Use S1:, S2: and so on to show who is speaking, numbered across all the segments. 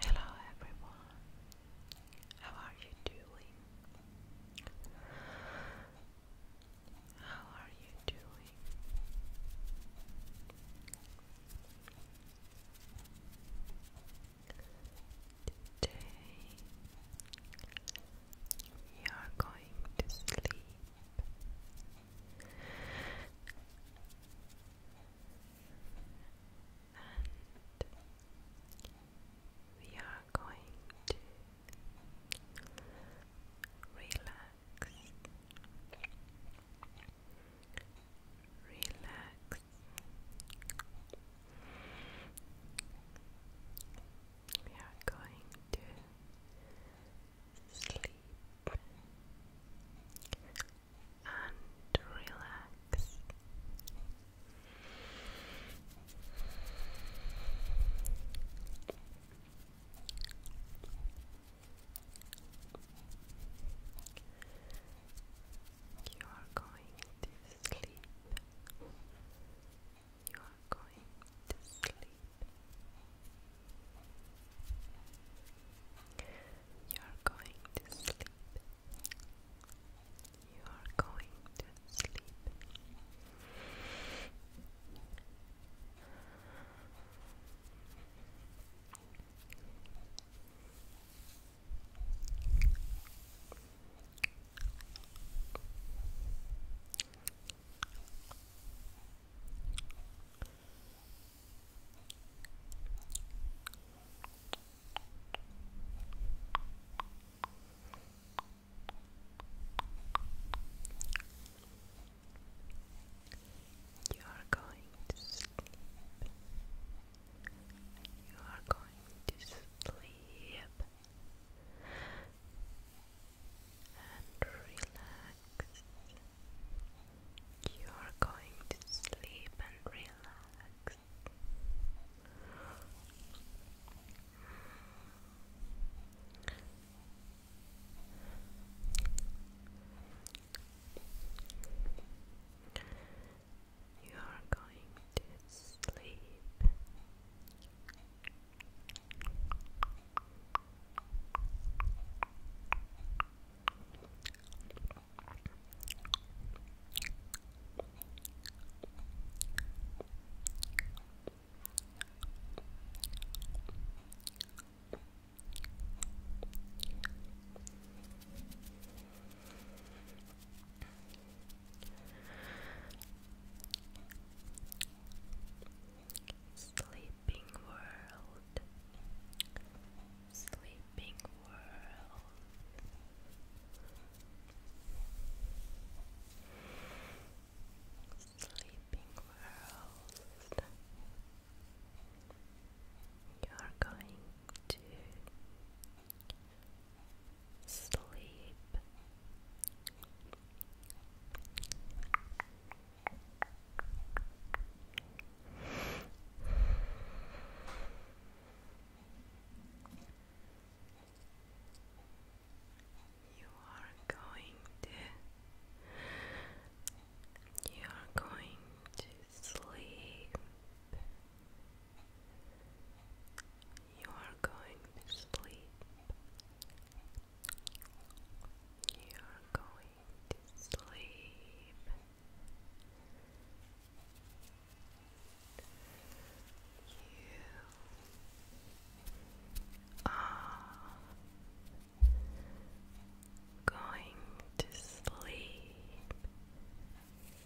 S1: Hello everyone, how are you doing? How are you doing? Today we are going to sleep. And we are going to relax, relax, we are going to sleep and relax. You are going to sleep you are going to sleep. You are going to sleep. You are going to sleep. You are going to sleep. You are going to sleep and relax. You are going to sleep and relax you are going to sleep. Sleeping World, Sleeping World. Sleeping world, you are going sleep. You are going to you are going to sleep. You are going to sleep. You are going to sleep. You are going to sleep.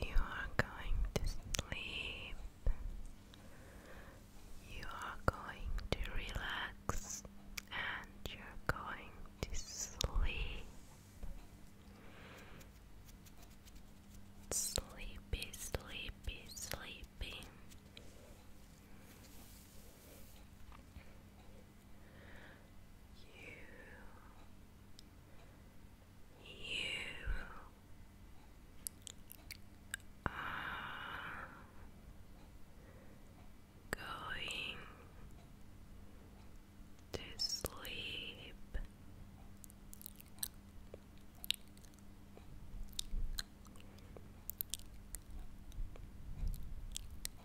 S1: You are going to sleep. You are going to relax and you're going to sleep. Sleepy, sleepy, sleepy. You, you are going to sleep. You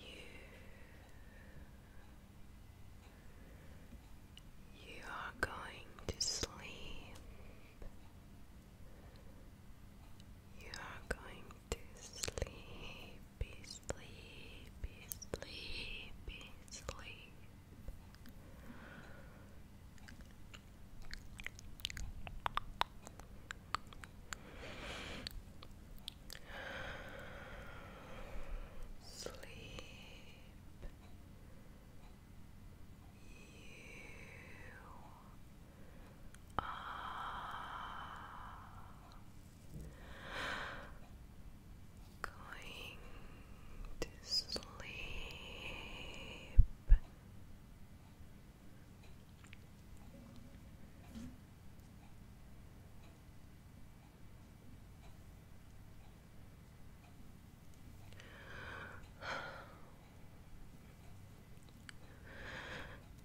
S1: You, you are going to sleep. You are going to sleepy, sleepy, sleepy, sleep. Sleep. You Ah. Going to sleep.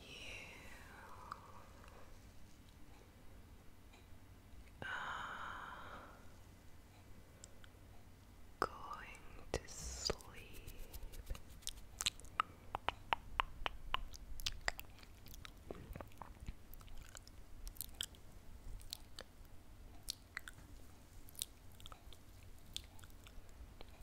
S1: You are going to sleep.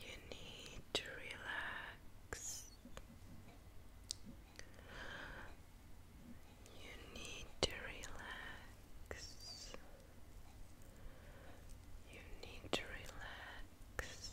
S1: You need to relax. You need to relax. You need to relax.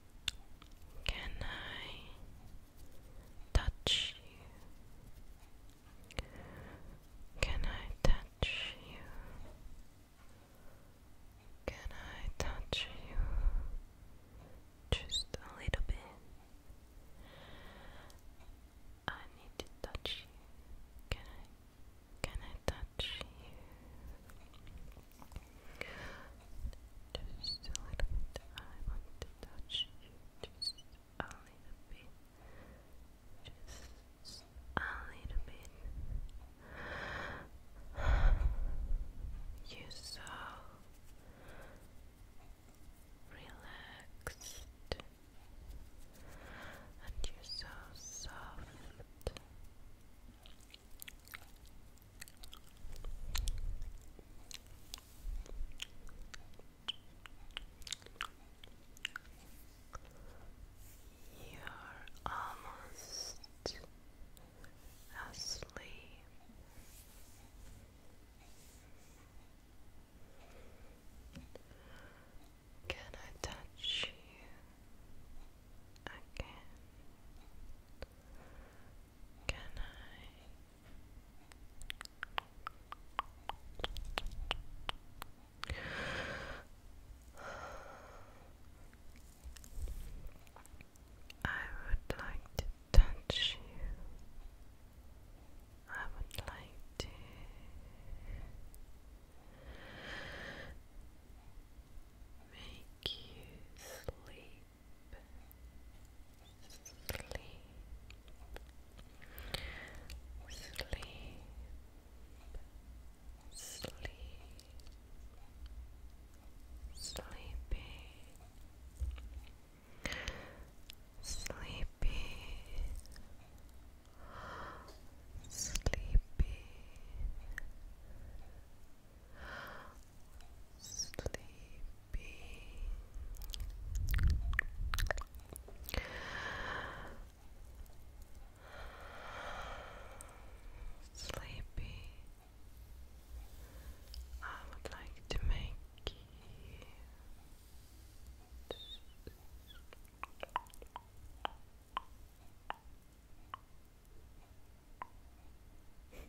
S1: Can I touch you? Can I touch you? Can I touch you? Just a little bit. I need to touch you. Can I? Can I touch you? Just a little bit. I want to touch you just a little bit. Just a little bit. You're so relaxed and you're so soft. You're almost asleep. Can I touch you again? Can I? I would like to touch you. I would like to make you sleep sleep, sleep, sleepy, sleepy, sleepy. Sleepy, be sleepy. I would like to make you and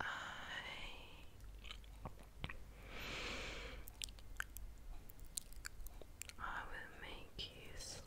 S1: I I will make you sleep.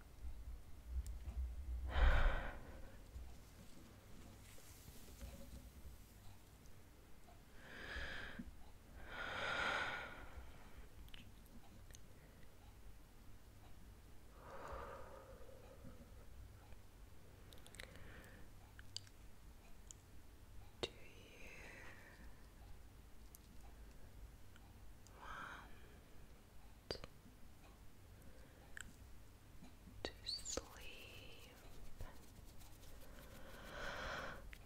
S1: Do you to sleep.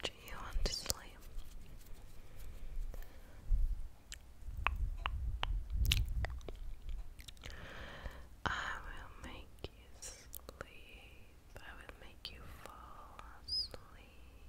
S1: Do you want to sleep? I will make you sleep. I will make you fall asleep.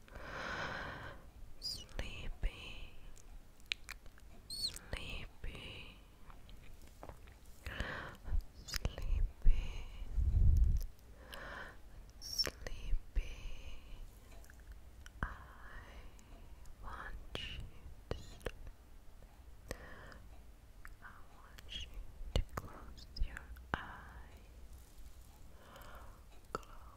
S1: sleepy, sleepy, sleepy, sleepy. I want you to I want you to close your eyes. Close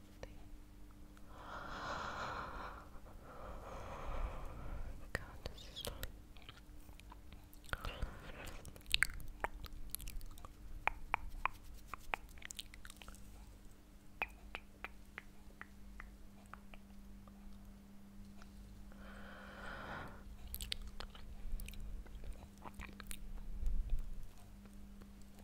S1: Go to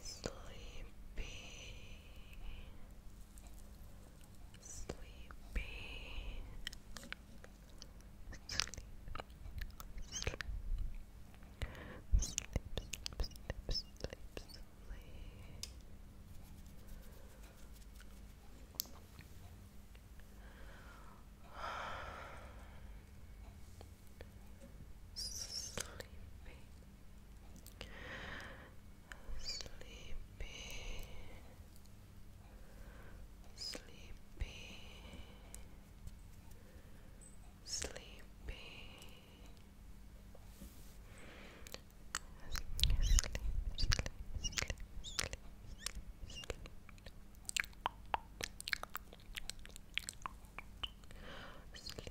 S1: Sleepy, sleepy, sleep, sleep, sleep, sleep, sleep, sleep, sleepy, sleepy, sleepy, sleepy, sleep, sleep, sleep, sleep, sleep. Sleep,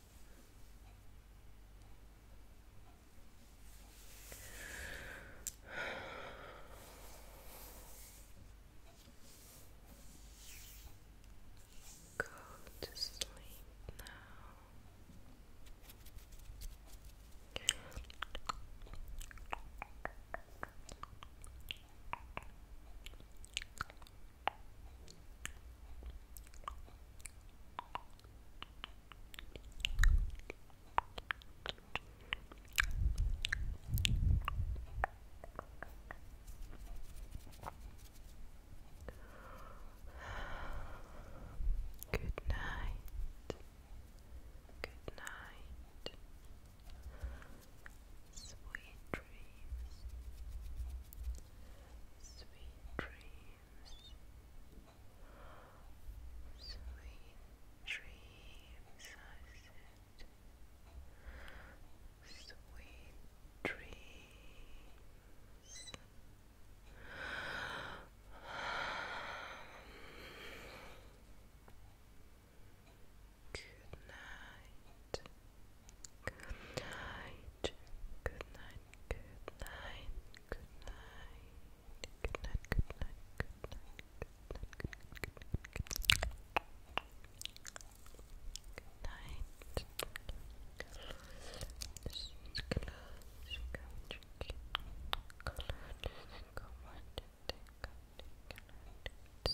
S1: Go to sleep now. Good night. Good night. Sweet dreams. Sweet dreams. Sweet dreams, I Sweet dreams. Good night. Good night. Good night. Good night. Good night. Good night, good night, good night, good night, good night, good night. Good night. Just close your country. Go on to take up the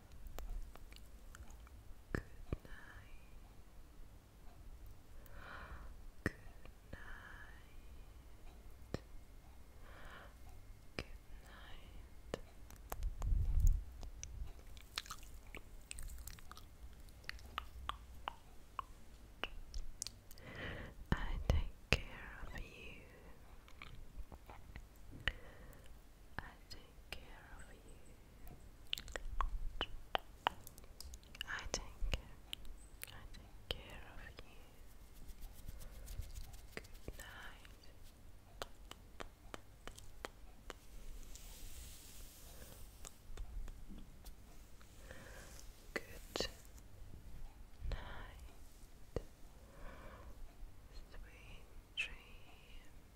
S1: Good night. Good night. Good night. I take care of you. I take I take care. I take care of you. Good night. Good night. Sweet dreams